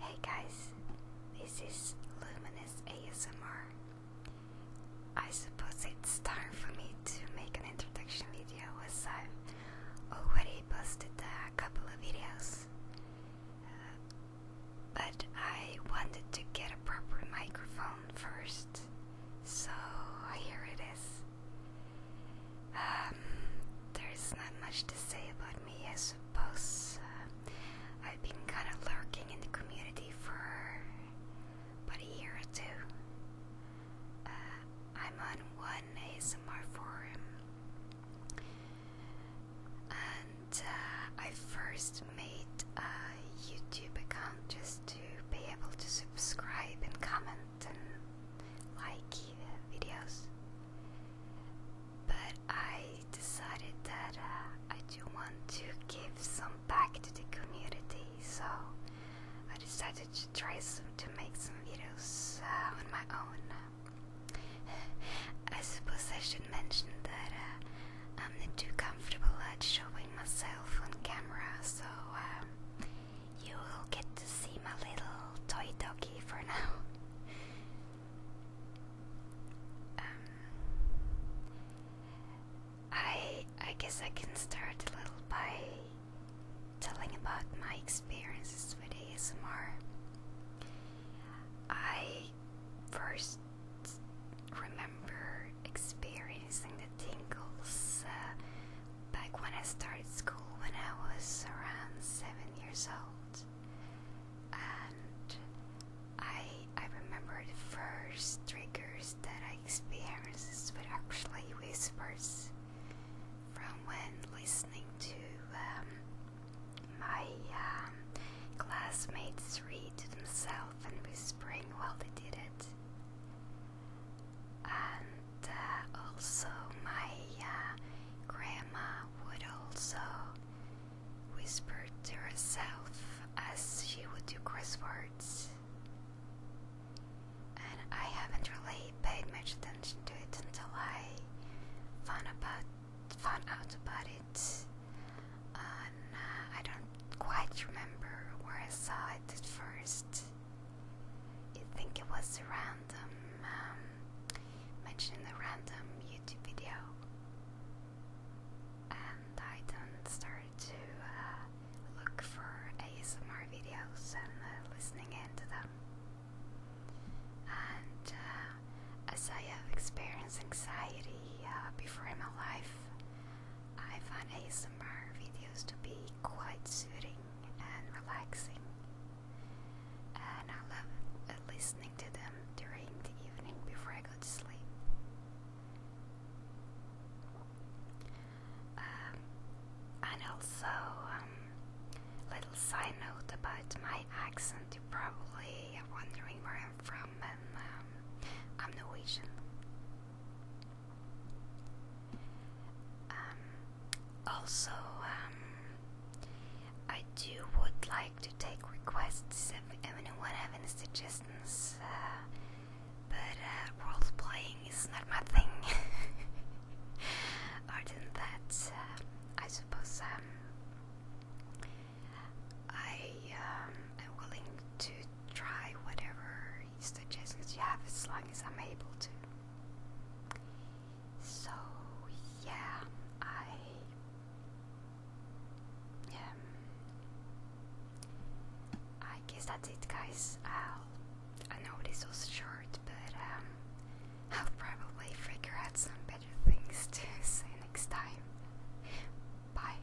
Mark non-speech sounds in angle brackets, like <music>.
Hey guys, this is Luminous ASMR. I suppose it's time for me to make an introduction video as I've already posted a couple of videos. Uh, but I wanted to get a proper microphone first, so here it is. Um, there's not much to say about me, I suppose. Uh, I've been kind of lurking in the community for about a year or two. Uh, I'm on one ASMR forum. And uh, I first made a YouTube account just to be able to subscribe and comment and like videos. But I decided that uh, I do want to give some back to the community, so I decided to try some, to make some videos uh, on my own. <laughs> I suppose I should mention that uh, I'm not too comfortable at showing myself on camera, so um, you will get to see my little toy doggy for now. <laughs> Um, I I guess I can start a little by telling about my experiences with ASMR. I first remember experiencing the tingles uh, back when I started school when I was around seven years old, and I I remember the first triggers that I experienced were actually whispers from when listening to um, my um, classmates read to themselves and whispering while they did it and uh, also my uh, grandma would also whisper to herself as she would do crosswords. And I haven't really paid much attention to it until I found about found out about it. And uh, I don't quite remember where I saw it at first. I think it was a random um, mentioning a random YouTube video, and I then started to uh, look for ASMR videos and uh, listening into them. And uh, as I have experienced anxiety uh, before in my life, I found ASMR ASMR videos to be quite soothing and relaxing, and I love listening to them during the evening before I go to sleep. Um, and also, um, little side note about my accent, you are probably wondering where I'm from, and um, I'm Norwegian. Um, also, um, I do would like to take requests if anyone have any suggestions, uh, but uh, role playing is not my thing. <laughs> Other than that, um, I suppose I am willing to try whatever increase the chances you have as long as I'm able to. So yeah, I um, I guess that's it, guys. i I know this was short, but um, I'll probably figure out some better things <laughs> to say next time. Bye.